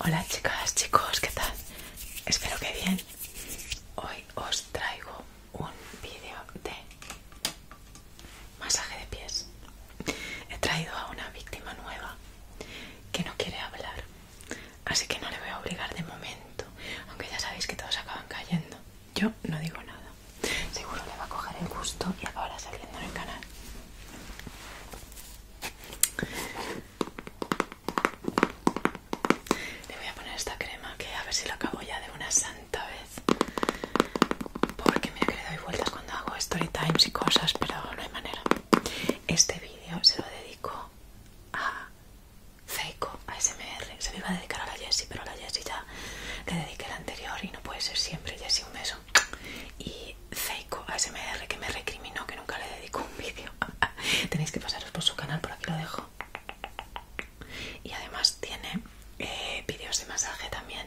Hola chicas, chicos, ¿qué tal? Espero que bien. Hoy os traigo un vídeo de masaje de pies. He traído a una víctima nueva que no quiere hablar, así que no le voy a obligar de momento, aunque ya sabéis que todos acaban cayendo. Yo no digo nada. Seguro le va a coger el gusto y acabará saliendo en el canal. Le voy a poner esta crema que a ver si lo acabo ya de una santa vez. Porque mira que le doy vueltas cuando hago story times y cosas, pero no hay manera. Este vídeo se lo dedico a Seiko, a SMR. Se lo iba a dedicar a la Jessie, pero a la Jessie ya le dediqué el anterior y no puede ser siempre. Jessie, un beso y Zeiko ASMR que me recriminó que nunca le dedico un vídeo. Tenéis que pasaros por su canal, por aquí lo dejo. Y además tiene eh, vídeos de masaje también,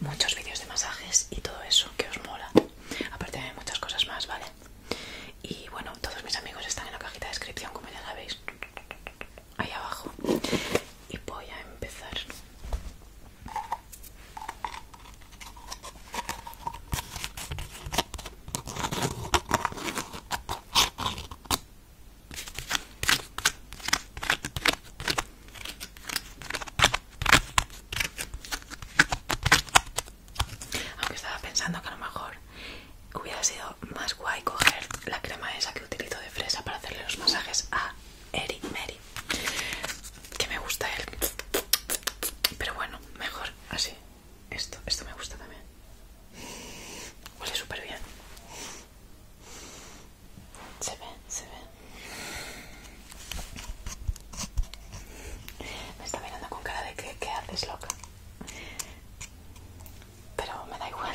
muchos vídeos de masajes y todo eso que os mola. Aparte hay muchas cosas más, ¿vale? Y bueno, todos mis amigos están en la cajita de descripción, como ya la veis, ahí abajo. Y voy a empezar aunque estaba pensando que a lo mejor hubiera sido más guay coger la crema esa que utilizo de fresa para hacerle los masajes a Eric Mary que me gusta él pero bueno mejor así esto esto me gusta también huele súper bien se ve se ve me está mirando con cara de que haces loca pero me da igual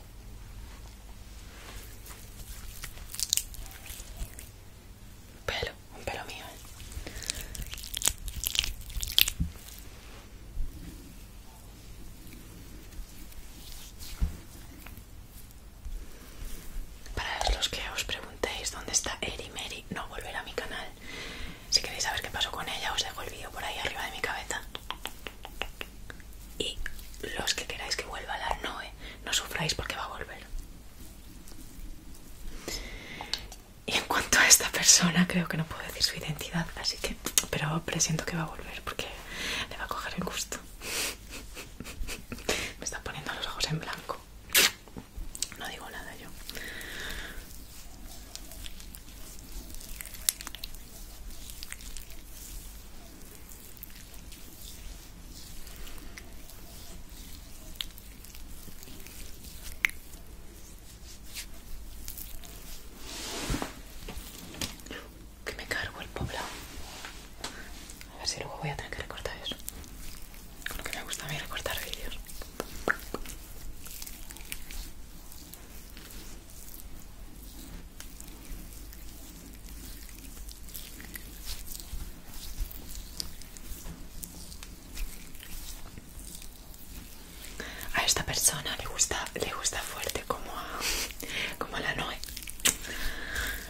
Pelo, un pelo mío. Eh. Para los que os preguntéis dónde está Eri Mary, no volverá a mi canal. Si queréis saber qué pasó con ella, os dejo el vídeo por ahí arriba de mi cabeza. Y los que queráis que vuelva la Noe, no sufráis porque va a volver. Y en cuanto a esta persona, creo que no puedo decir su identidad, así que. Pero presiento que va a volver porque le va a coger el gusto. Me está poniendo los ojos en blanco. No digo nada yo. Que me cargo el poblado. A ver si luego voy a tener que recortar eso. Con lo que me gusta a mí recortar vídeos. A esta persona le gusta, le gusta fuerte como a, como a la Noe.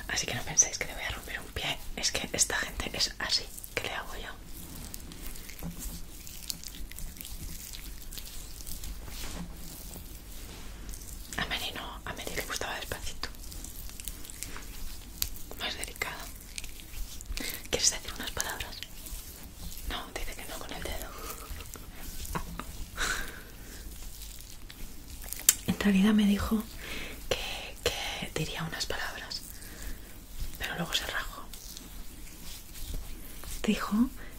Así que no penséis que le voy a romper un pie. Es que esta gente es así. ¿Qué le hago yo? A mí no, a Meri le gustaba despacito. Más delicado. ¿Quieres decir unas palabras? No, dice que no con el dedo. En realidad me dijo que, que diría unas palabras, pero luego se rajó. Dijo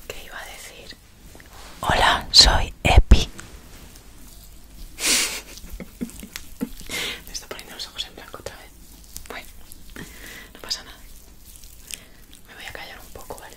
que iba a decir, hola, soy Epi. Me está poniendo los ojos en blanco otra vez. Bueno, no pasa nada. Me voy a callar un poco, ¿vale?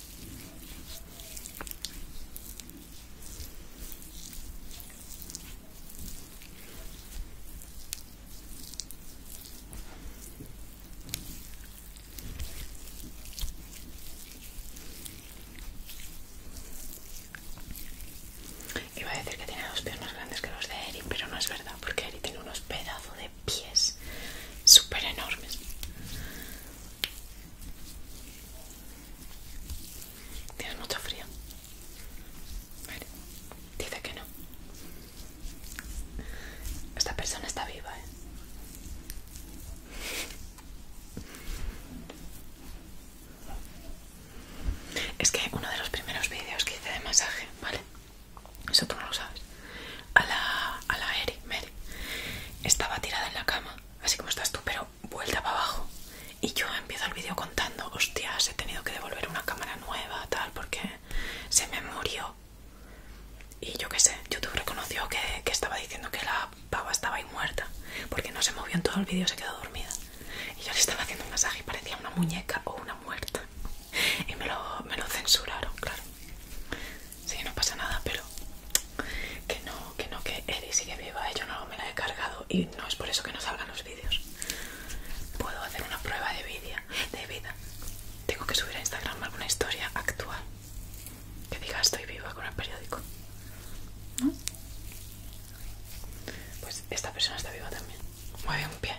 Iba a decir que tiene dos más grandes que los de Eric, pero no es verdad, porque Eric tiene unos pedazos de pies súper enormes. ¿Tienes mucho frío? dice que no. Esta persona está viva, ¿eh? Es que uno de los primeros vídeos que hice de masaje, ¿vale? Eso tú no lo sabes. A la, a la Eri, Mary. Estaba tirada en la cama, así como estás tú, pero vuelta para abajo. Y yo empiezo el vídeo contando, hostias, he tenido que devolver una cámara nueva, tal, porque se me murió. Y yo qué sé, YouTube reconoció que, que estaba diciendo que la pava estaba ahí muerta, porque no se movió en todo el vídeo, se quedó dormida. Y yo le estaba haciendo un masaje y parecía una muñeca o una muerta y me lo, me lo censuraron, claro. Sí, no pasa nada, pero que no, que no, que Eri sigue viva, yo no me la he cargado y no es por eso que no salgan los vídeos. Puedo hacer una prueba de vida, de vida. Tengo que subir a Instagram alguna historia actual que diga estoy viva con el periódico. Pues esta persona está viva también. Mueve un pie.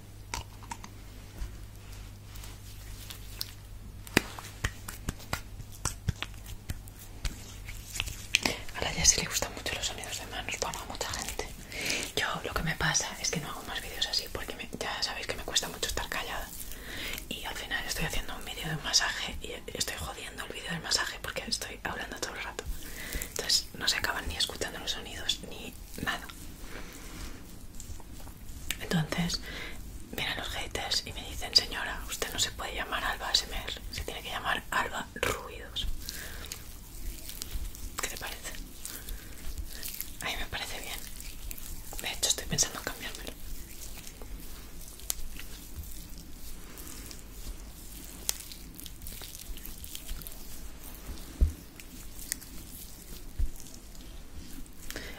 A la se le gustan mucho los sonidos de manos, bueno, a mucha gente. Yo lo que me pasa es que no hago más vídeos así porque ya sabéis que me cuesta mucho estar callada. Y al final estoy haciendo un vídeo de masaje y estoy jodiendo el vídeo del masaje porque estoy hablando todo el rato. Entonces no se acaban ni escuchando los sonidos ni nada. Entonces vienen los haters y me dicen, señora, usted no se puede llamar Alba Semer se tiene que llamar Alba Ruidos. ¿Qué te parece? A mí me parece bien. De hecho, estoy pensando en cambiármelo.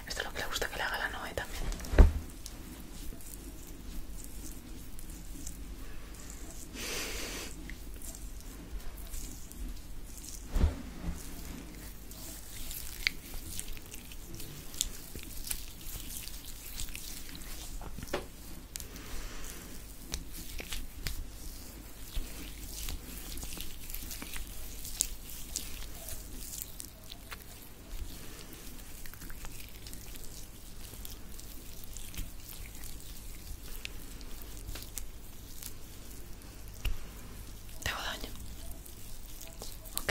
Esto es lo que le gusta que le haga la Noe también. Te hago daño. Ok.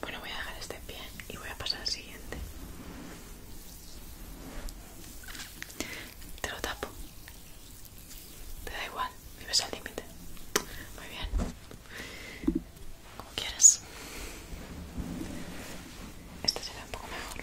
Bueno, voy a dejar este pie y voy a pasar al siguiente. Te lo tapo. Te da igual, vives al límite. Muy bien. Como quieras. Este será un poco mejor.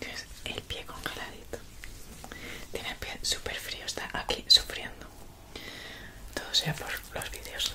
es? El pie congeladito. Tiene el pie súper frío, está aquí sufriendo. Todo sea por los vídeos.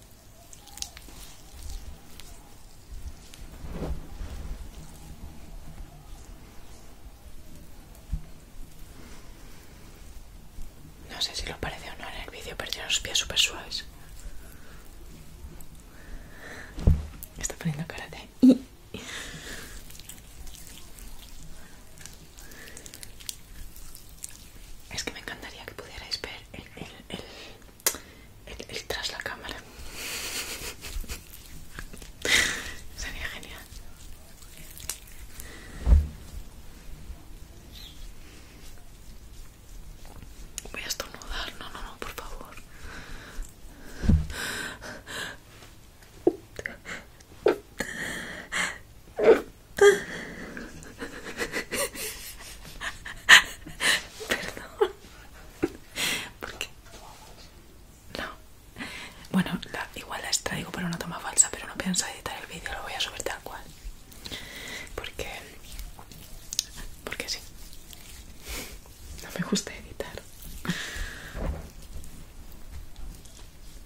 No sé si lo parece o no en el vídeo, pero tiene los pies super suaves. Está poniendo cara es que me encantaría que pudierais ver el, tras la cámara. Sería genial. Voy a estornudar, no, no, no, por favor. Perdón. ¿Por qué? No. Bueno, igual la extraigo para una toma falsa, pero no pienso editar el vídeo, lo voy a subir tal cual. Porque... Porque sí. No me gusta editar.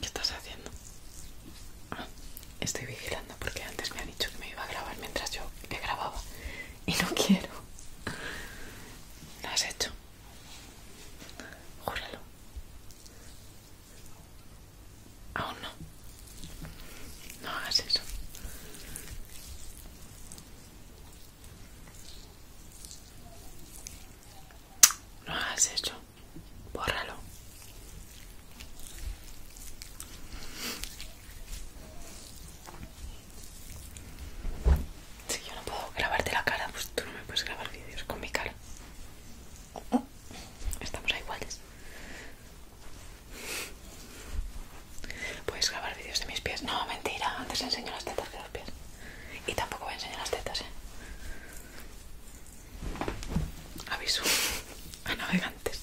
¿Qué estás haciendo? Ah, estoy vigilando porque antes me ha dicho que me iba a grabar mientras yo le grababa y no quiero. ¿Lo has hecho? Júralo. Aún no. No hagas eso. No hagas eso. Bórralo. Si yo no puedo grabarte la cara, pues tú no me puedes grabar vídeos con mi cara. Estamos a iguales. Puedes grabar vídeos de mis pies. No, mentira. Antes enseño las tetas de los pies. Y tampoco voy a enseñar las tetas, eh. Aviso a navegantes.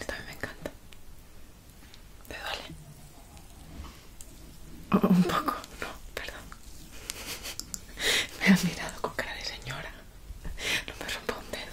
Esta me encanta. ¿Te duele? Oh, un poco, no, perdón. Me has mirado con cara de señora. No me rompo un dedo.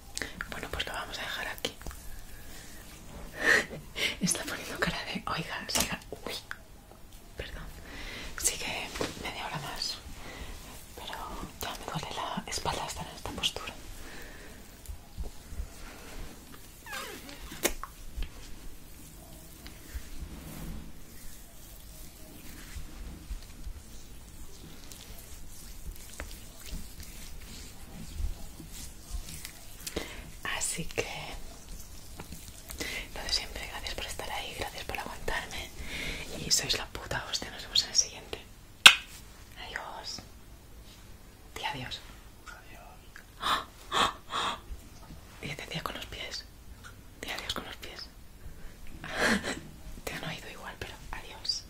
Bueno, pues lo vamos a dejar aquí. Está poniendo cara de. Oiga, siga. Uy, perdón. Sigue media hora más. Pero ya me duele la espalda estar en esta postura. Así que, lo siempre, gracias por estar ahí, gracias por aguantarme y sois la puta hostia, nos vemos en el siguiente. Adiós. Di adiós. Adiós. Y con los pies. Di adiós con los pies. Te han oído igual, pero adiós.